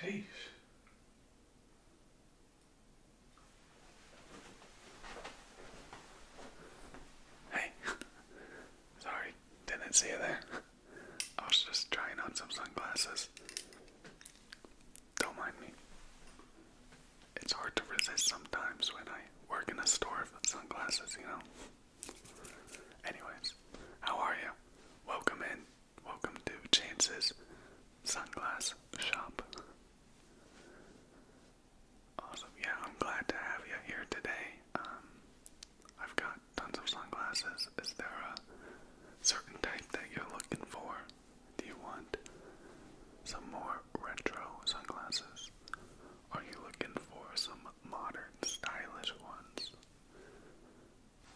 Jeez. Hey, sorry, didn't see you there. I was just trying on some sunglasses. Don't mind me. It's hard to resist sometimes when I work in a store of sunglasses, you know? Anyways, how are you? Welcome in. Welcome to Chance's Sunglass Shop. Awesome. Yeah, I'm glad to have you here today. Um, I've got tons of sunglasses. Is there a certain type that you're looking for? Do you want some more retro sunglasses? Are you looking for some modern, stylish ones?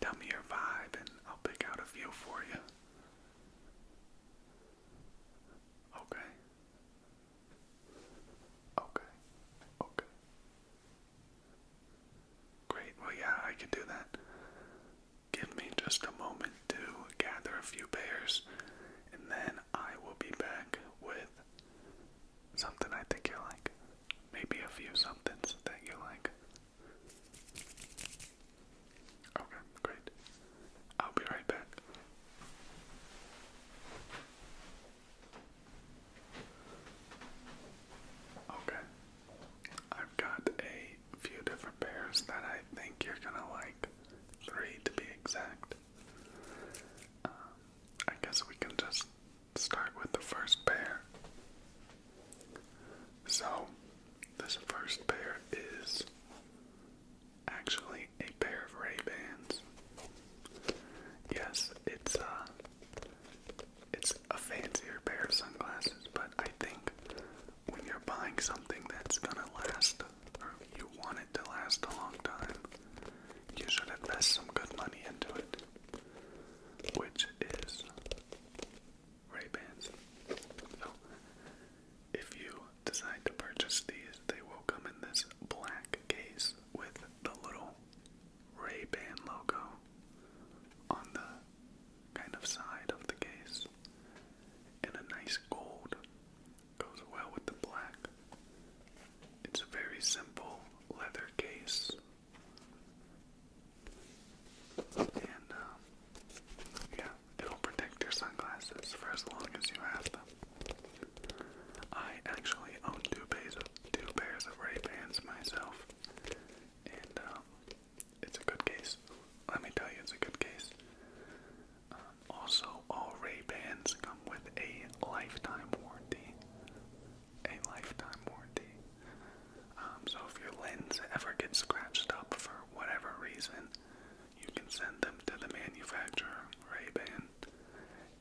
Tell me your vibe and I'll pick out a few for you. Okay. Okay. Okay. Great. Well, yeah, I can do that. Give me just a moment to gather a few pairs, and then I will be back with something I think you'll like. Maybe a few somethings that you like. Okay, great. I'll be right back. Okay. I've got a few different pairs that I think you're gonna like. Three to be exact. Um, I guess we can just start with the first pair. So, this first pair is actually a pair of Ray-Bans. Yes, it's uh it's a fancier pair of sunglasses, but I think when you're buying something that's gonna last or you want it to last a long time, you should invest some good money into it which is Ray-Bans. if you decide to purchase these, they will come in this black case with the little ray logo on the kind of side of the case. And a nice gold goes well with the black. It's a very simple leather case and, um, yeah, it'll protect your sunglasses for as long as you have them. I actually own two pairs two pairs of Ray-Bans myself, and um, it's a good case. Let me tell you, it's a good case. Um, also, all Ray-Bans come with a lifetime warranty a lifetime warranty. Um, so if your lens ever gets scratched up for whatever reason, you can send them to the manufacturer, Ray-Ban,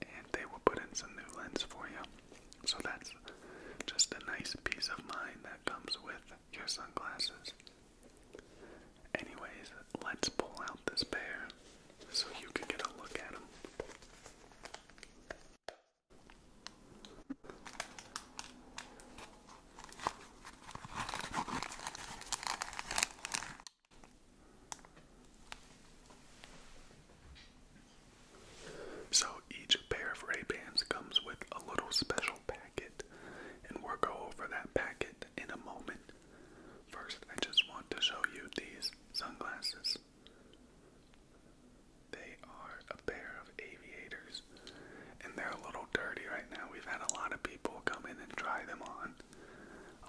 and they will put in some new lens for you. So that's just a nice peace of mind that comes with your sunglasses. Anyways, let's pull out this pair so you can get a look at them. So each pair of Ray-Bans comes with a little special packet, and we'll go over that packet in a moment. First, I just want to show you these sunglasses. They are a pair of aviators, and they're a little dirty right now. We've had a lot of people come in and try them on.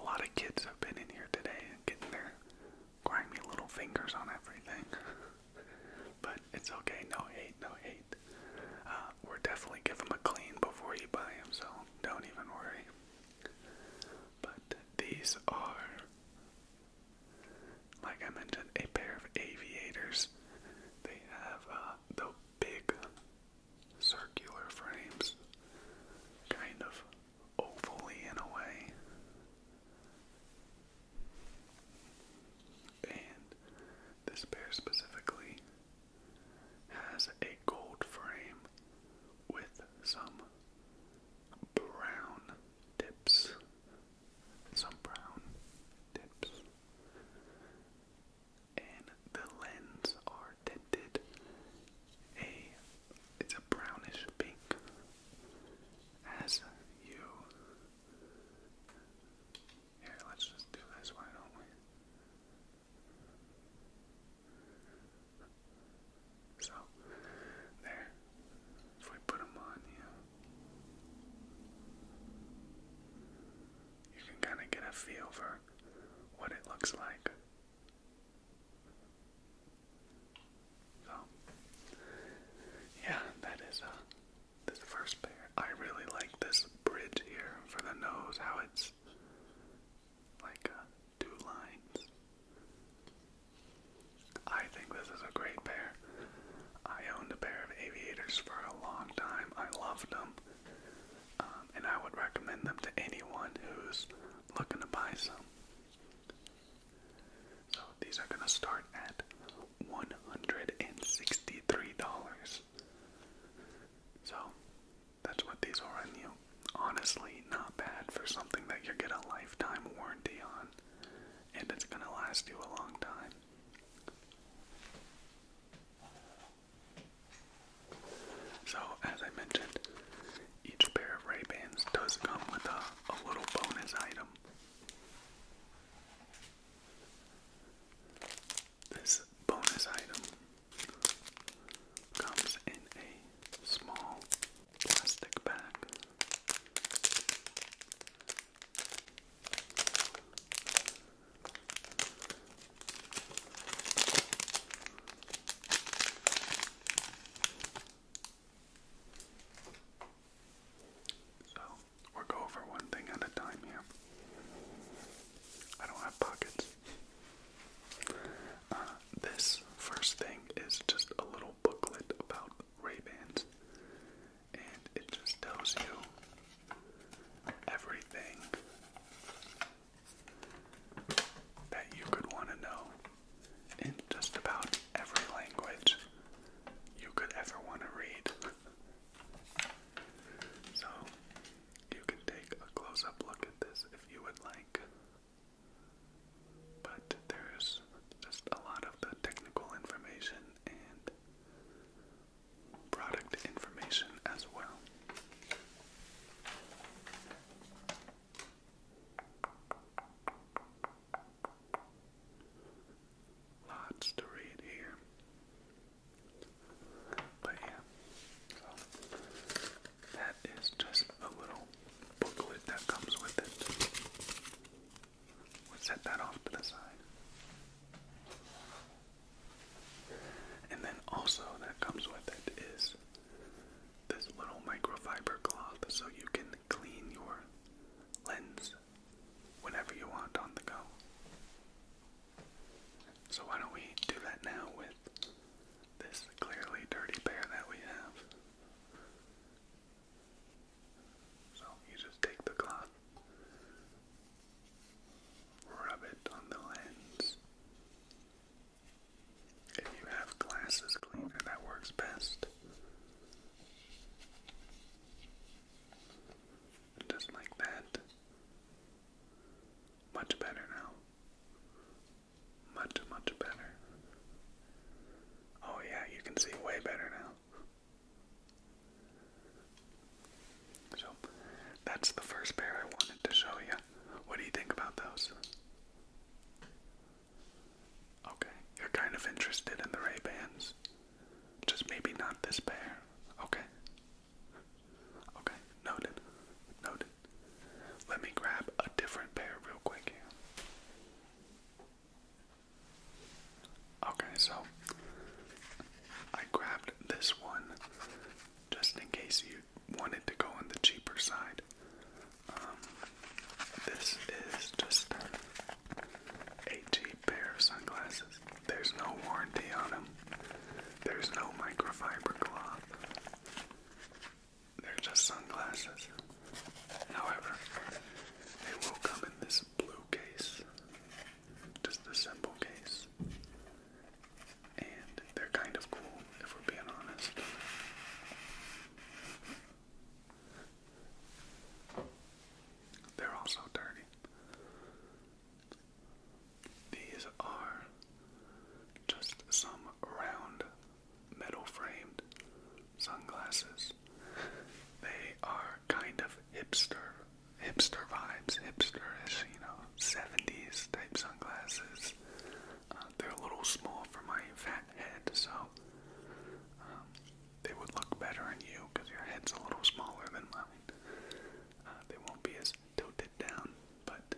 A lot of kids have been in here today and getting their grimy little fingers on everything. but it's okay, no hate, no hate. Uh, we're definitely give them a clean before you buy them, so don't even worry. But these are like I mentioned, a pair of aviators. They have uh, the big circular frames, kind of ovally in a way. And this pair specifically has a gold frame with some brown tips. Some brown tips. And the lens are tinted a it's a brownish pink as you here let's just do this why don't we so, there. If we put them on, You can kind of get a feel for what it looks like. So, yeah, that is uh, this first pair. I really like this bridge here for the nose, how it's like uh, two lines I think this is a great pair. I owned a pair of aviators for a long time. I loved them. Um, and I would recommend them to anyone who's looking to buy some. So these are going to start at $163. So that's what these will run you. Honestly, not bad for something that you get a lifetime warranty on and it's going to last you a long time. So, as I mentioned, each pair of Ray-Bans does come with a little bonus item. This bonus item comes in a small plastic bag. So, we're going over one thing at a time here. I don't have pockets. Uh, this first thing is just a little booklet about ray and it just tells you everything that you could want to know in just about every language you could ever want to read. So, you can take a close-up look at this if you would like. But there's just a lot of the technical information and product information as well. Lots to read here. But yeah, so that is just a little booklet that comes with it. We'll set that off to the side. And then also that comes with it is this little microfiber cloth so you can clean your lens whenever you want on the go. So why don't we do that now with this clearly dirty pair that we have. So you just take the cloth, rub it on the lens. If you have glasses cleaner, that works best. Just like that. Much better now. Much, much better. Oh, yeah, you can see way better now. So, that's the first pair I wanted to show you. What do you think about those? Okay, you're kind of interested in the Ray-Bans. Just maybe not this pair. Okay. Okay, noted. Noted. Let me grab a different pair real quick Okay, so I grabbed this one just in case you wanted to go on the cheaper side. Um, this is just a cheap pair of sunglasses. There's no warranty on them. There's no microfiber cloth. They're just sunglasses. However, they will come in this blue case, just the simple case. And they're kind of cool, if we're being honest. They're also dirty. These are just some round metal framed sunglasses. They are kind of hipster, hipster vibes, hipsterish, you know, 70s type sunglasses. Uh, they're a little small for my fat head, so um, they would look better on you because your head's a little smaller than mine. Uh, they won't be as tilted down, but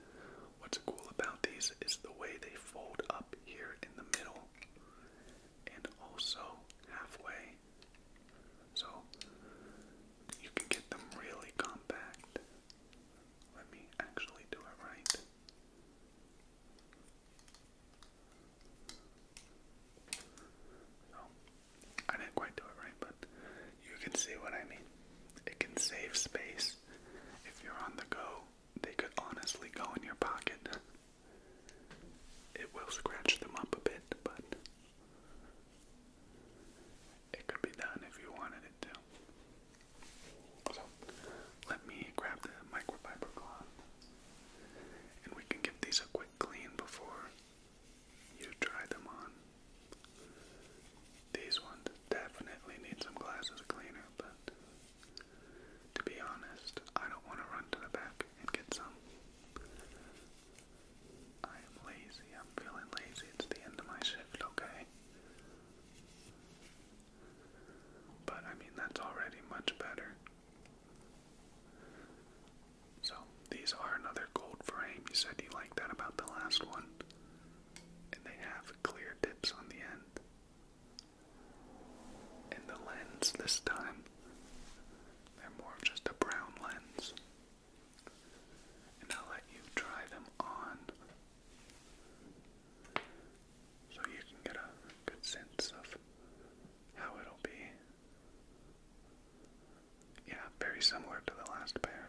what's cool about these is the way they fold up here in the middle and also halfway. So you can get them really compact. Let me actually do it right. So, I didn't quite do it right, but you can see what I mean. It can save space. If you're on the go, they could honestly go in your pocket. It will scratch them up a bit, but it could be done if you wanted it to. So, let me grab the microfiber cloth and we can give these a quick clean before you try them on. These ones definitely need some glasses cleaner, but to be honest, I don't want to run to the back and get some. I am lazy. I'm feeling lazy. It's the end of my shift, okay? But I mean, that's already much better. So, these are another gold frame. You said you liked that about the last one. And they have clear tips on the end in the lens this time. They're more of just a brown lens. And I'll let you try them on so you can get a good sense of how it'll be. Yeah, very similar to the last pair.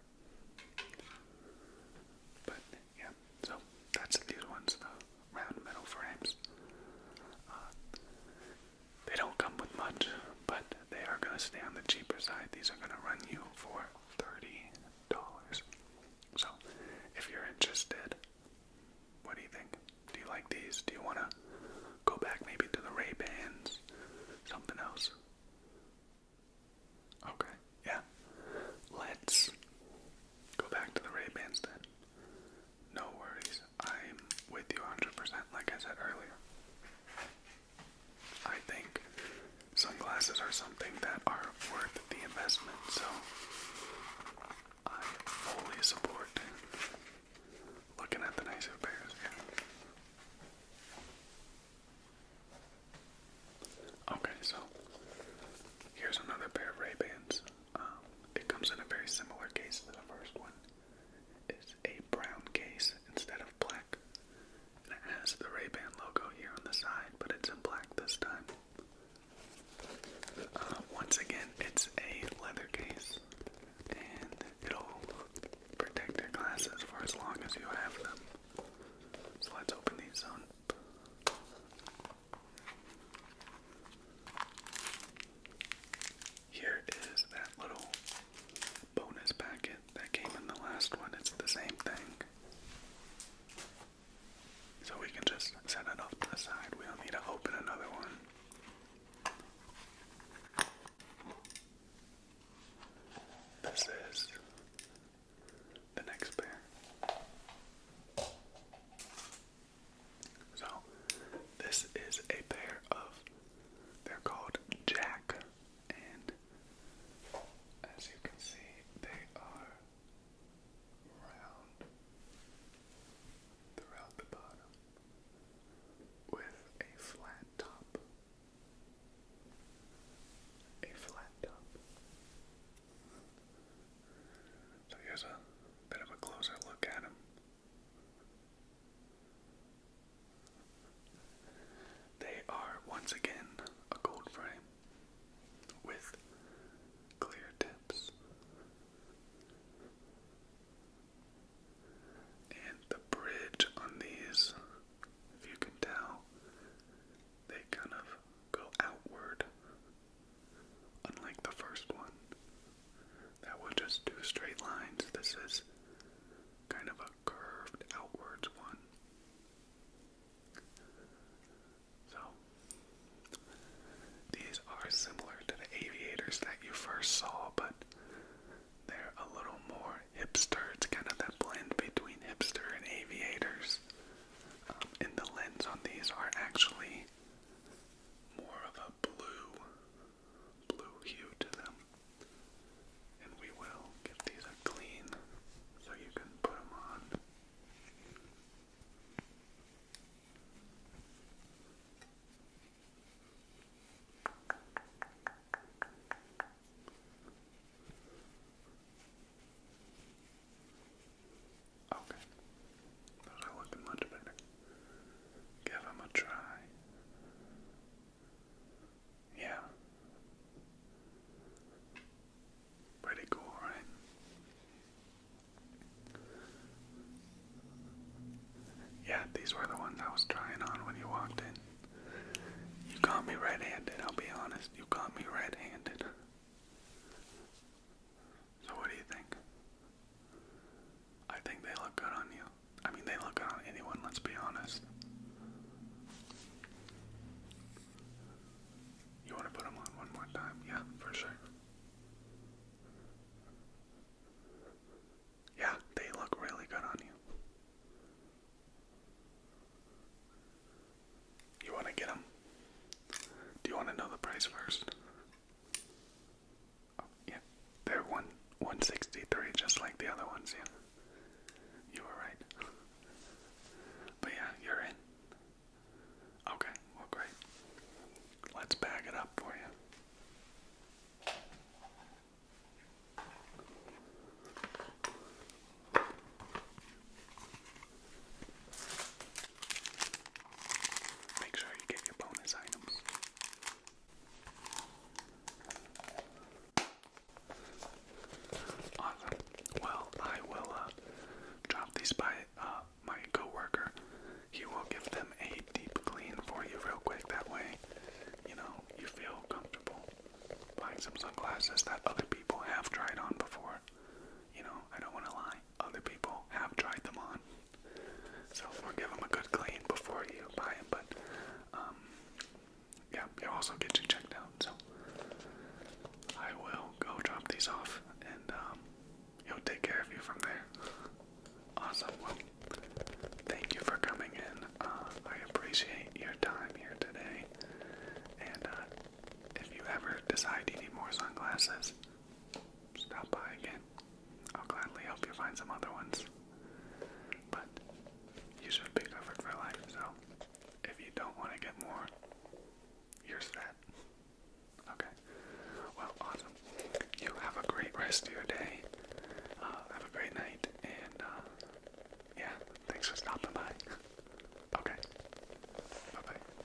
But yeah, so that's these ones though round metal frames. Uh, they don't come with much, but they are going to stay on the cheaper side. These are going to run you for $30. So, if you're interested, what do you think? Do you like these? Do you want to go back maybe to the Ray-Bans? Something else? Okay, yeah. Let's go back to the Ray-Bans then. No worries. I'm with you 100%, like I said earlier. I think sunglasses are something that are worth the investment, so I fully support looking at the nicer pairs. Yeah. Okay, so here's another pair of Ray-Bans. Um, it comes in a very similar case to the first one. It's a brown case instead of black. And it has the Ray-Ban logo here on the side, but it's in black this time. Uh, once again, it's a leather case, and it'll protect your glasses for as long as you have them. So let's open these up. Here is that little bonus packet that came in the last one. It's the same thing. So we can just set it off to the side. We don't need to open another one. This is the next pair. So, this is a pair of, they're called Jack, and as you can see, they are round throughout the bottom with a flat top. A flat top. So here's a bit of a closer look at them. They are once again a gold frame with clear tips. And the bridge on these, if you can tell, they kind of go outward Unlike the first one, that was just two straight lines. This is kind of a curved outwards one. So, these are similar to the aviators that you first saw, but they're a little more hipster. It's kind of that blend between hipster and aviators. Um, and the lens on these are actually more of a blue blue hue to them. And we will give these a clean so you can put them on. Okay. Those are much better. Give them a try. Yeah. Pretty cool, right? Yeah, these were the ones I was trying on when you walked in. You caught me red handed, I'll be honest. You caught me red handed. So what do you think? I think they look good on you. I mean, they look on anyone, let's be honest. You want to put them on one more time? Yeah, for sure. Yeah, they look really good on you. You want to get them? Do you want to know the price first? yeah, they're one 163, just like the other ones. Yeah, you were right. But yeah, you're in. Okay, well, great. Let's bag it up for you. Make sure you get your bonus items. Well, I will uh, drop these by uh, my coworker. He will give them a deep clean for you real quick. That way, you know, you feel comfortable buying some sunglasses that other people have tried on before. You know, I don't want to lie other people have tried them on. So, give them a good clean before you buy them, but, um, yeah, it also gets you checked out, so. I will go drop these off, and, he'll um, take care of you from there. Awesome, well, thank you for coming in. Uh, I appreciate your time here today, and, uh, if you ever decide you need more sunglasses, stop by again. I'll gladly help you find some other ones. But you should be covered for life, so if you don't want to get more, you're Okay. Well, awesome. You have a great rest of your day. Uh, have a great night, and uh, yeah, thanks for stopping by. okay. Bye bye.